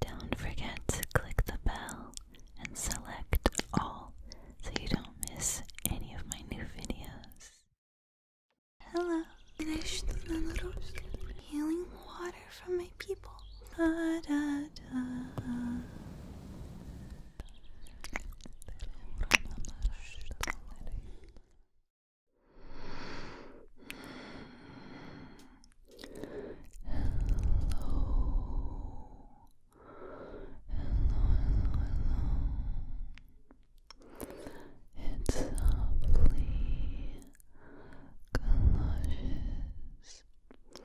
Don't forget to click the bell and select all so you don't miss any of my new videos. Hello, healing water from my people. Da, da, da hello. It's softly galoshes. Let's get tired.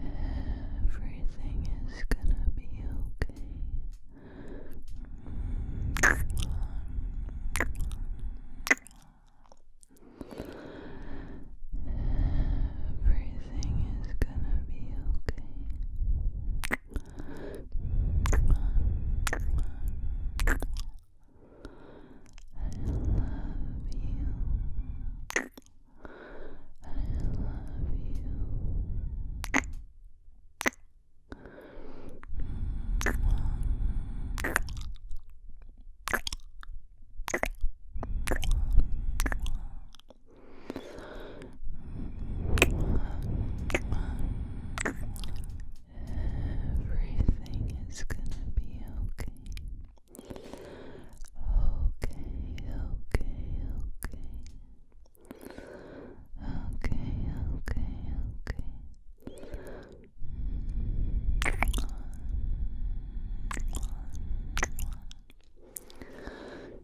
Everything is gonna be okay. Everything everything is gonna be okay. I love you. I love you. Everything is gonna be okay. Okay, okay, okay. Okay, okay, okay. Everything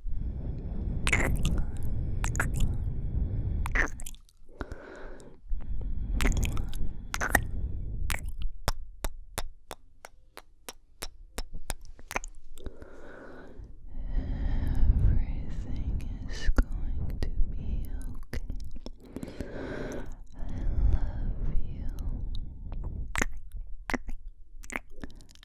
is going to be okay. I love you.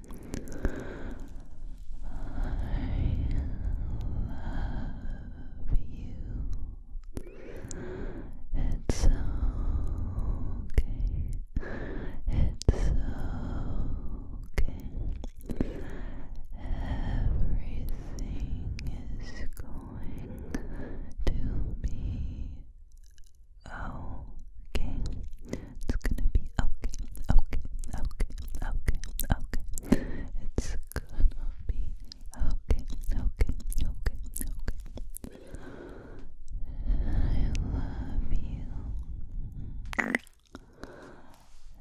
love you. It's okay. It's okay. Everything is going to be okay. It's gonna be okay, okay, okay, okay, okay. It's gonna be okay, okay, okay, okay. I love you. I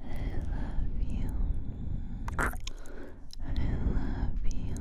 love you. I love you.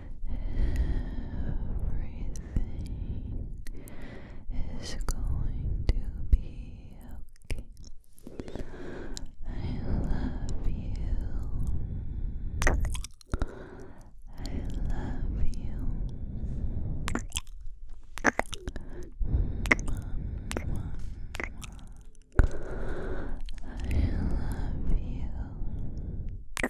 Everything is going to be okay. I love you. I love you. I love you.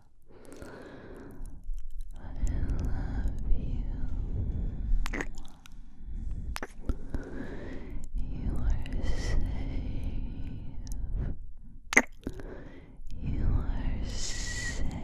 I love you. You are safe. You are safe. So safe.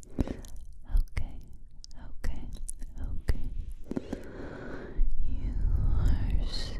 Okay, okay, okay. You are safe.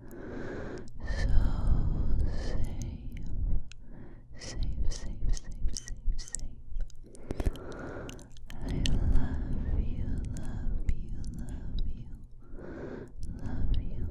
so safe, safe, safe, safe, safe, safe. I love you, love you, love you, love you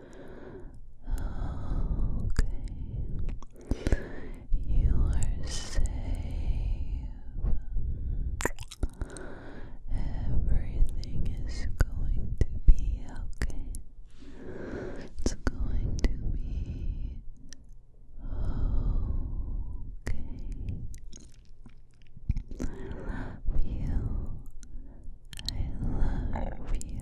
Okay. You are safe. Everything is going to be okay. It's going to be okay. I love you. I love you.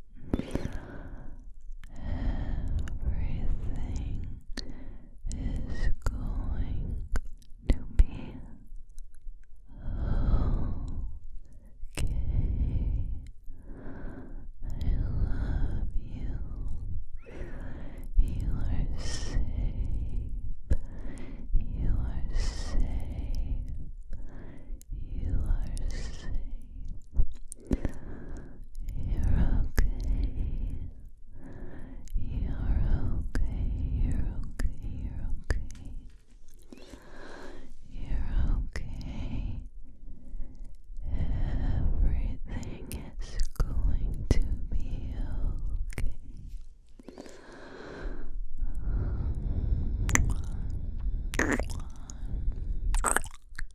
Everything is going to be okay. I love you. You are safe. You are safe. You are safe. You're okay. You're okay. You're okay. You're okay. You're okay. Everything is going to be okay.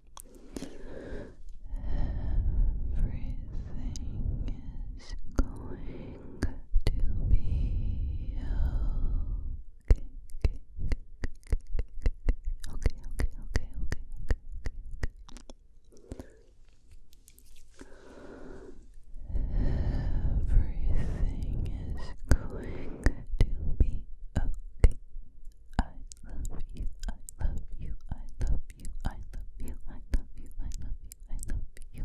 Everything is going to be okay. Okay, okay, okay, okay, okay, okay, Everything is going to be okay. I love you, I love you, I love you, I love you, I love you, I love you, I love you.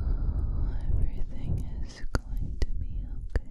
Oh, everything is going to be okay.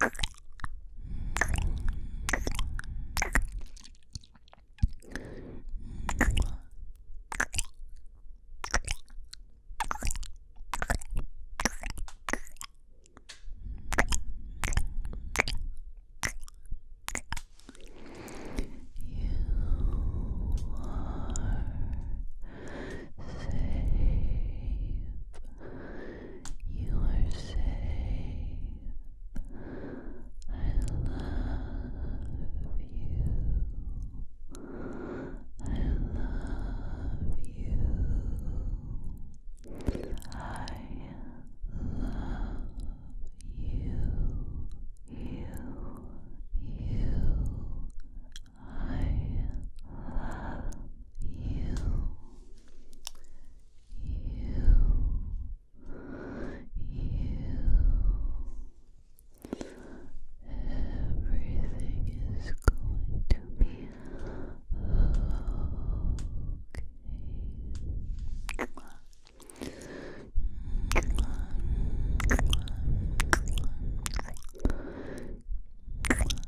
You are safe. You are I love you. I love you. I love you. You, you, I love you. You. You. Everything is going to be okay.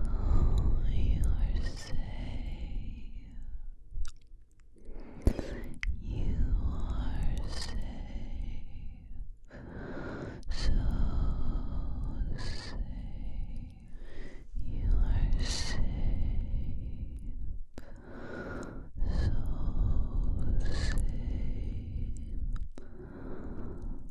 Oh, you are safe. You are safe. So safe. You are safe. So safe.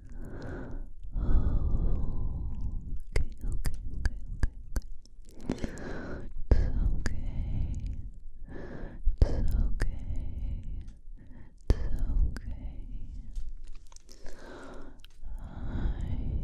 okay, okay. It's okay. It's okay. It's okay. I love you.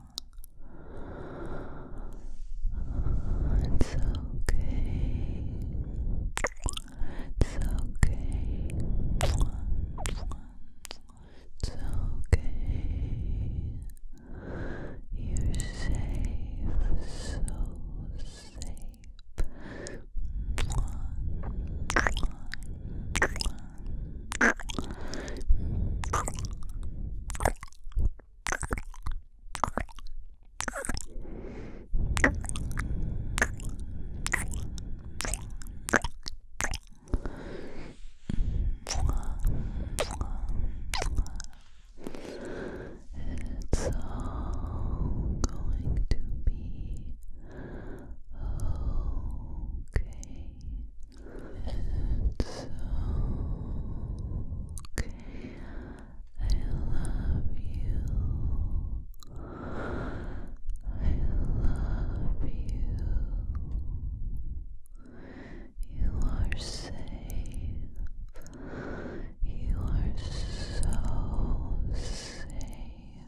It's okay. It's okay. It's okay. You're safe, so safe. It's all going to be okay. It's okay. I love you. I love you. You are safe. You are so safe.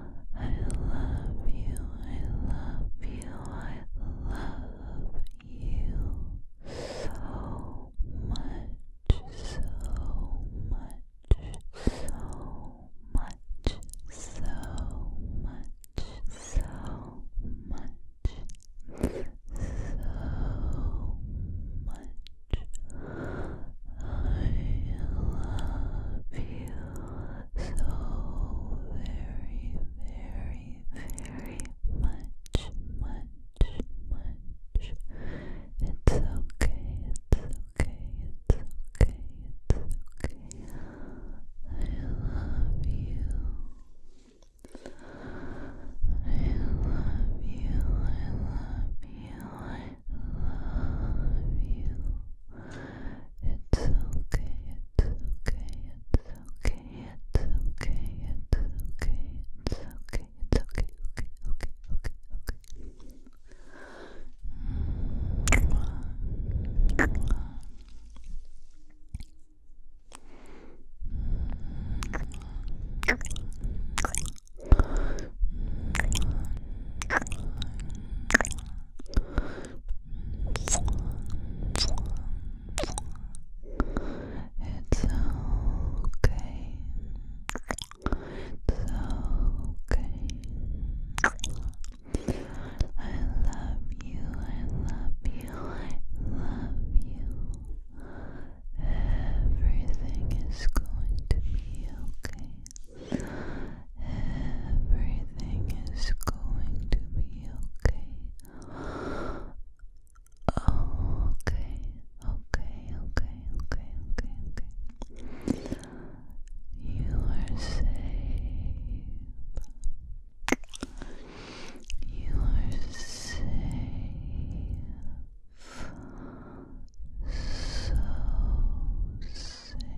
I love you, I love you, I love you so much, so much, so much, so much, so much. So much, I love you, so very, very, very much, much, much. It's okay, it's okay, it's okay, it's okay. I love you. I love you, I love you, I love you. It's okay, it's okay, it's okay, it's okay, it's okay, it's okay, it's okay, okay, okay, okay, okay. It's okay. It's okay. I love you. I love you. I love you. Everything is going to be okay. Everything is going to be okay. okay, okay, okay, okay, okay, okay. You are safe. You are safe. So safe.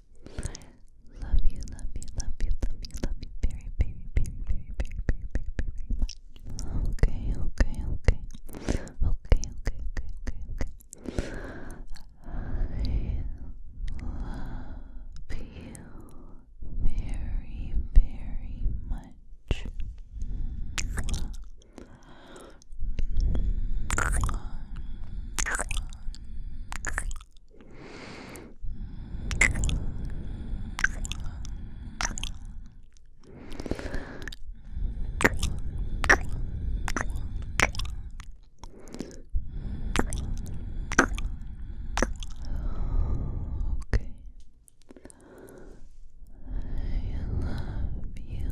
Love you, love you, love you, love you, love you very, very, very, very, very, very, very, very much. Okay, okay, okay. Okay, okay, okay, okay, okay. I love you very, very much. Okay. I love you.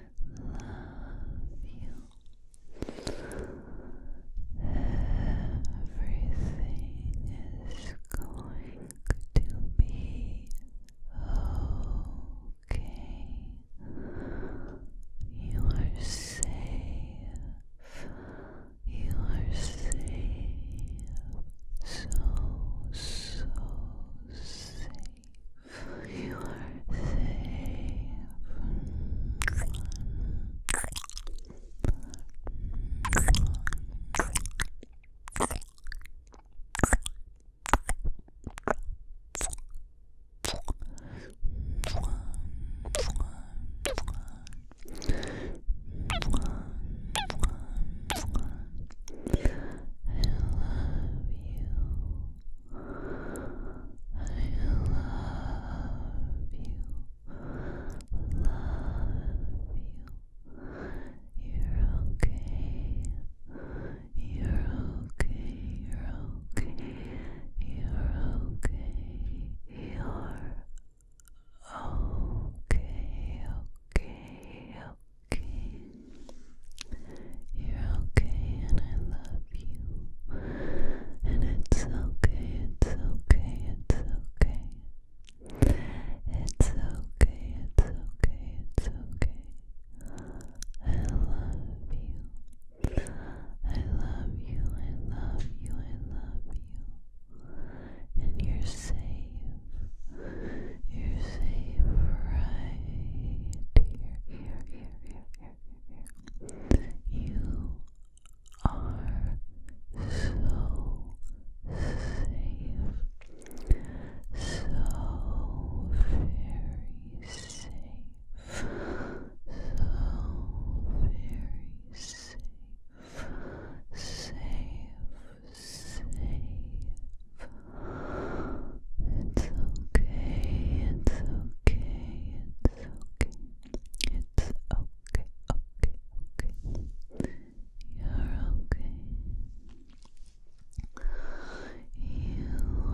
love you. Everything is going to be okay. You are safe. You are safe. So, so safe. You are safe you. You're okay. You're okay. You're okay. You're okay. You're Okay. Okay okay. You're okay, and I love you. And it's okay, it's okay, it's okay. It's okay, it's okay, it's okay. I love you. I love you, I love you, I love you. And you're safe. You're safe right here, here, here, here, here, You are so safe, so very safe, so very safe, safe, it's okay, it's okay, it's okay. It's okay, okay, okay. You're okay. You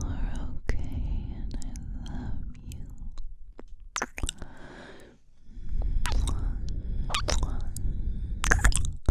are okay, and I love you.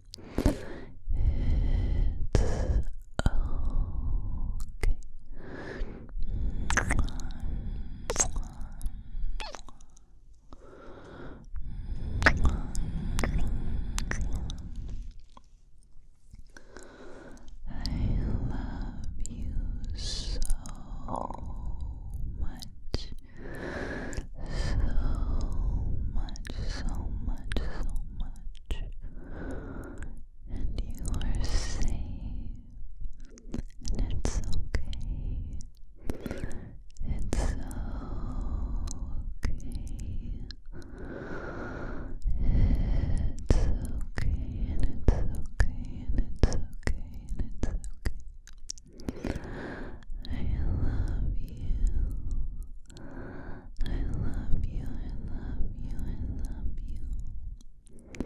love you so much. So much, so much, so much and you are safe, and it's okay. It's okay. It's okay, and it's okay, and it's okay, and it's okay. I love you. I love you, I love you, I love you. I love you.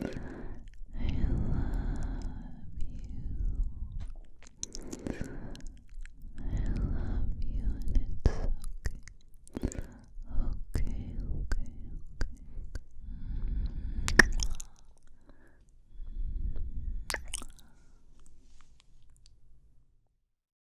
I love you, and it's okay. Okay, okay, okay. okay. Mm.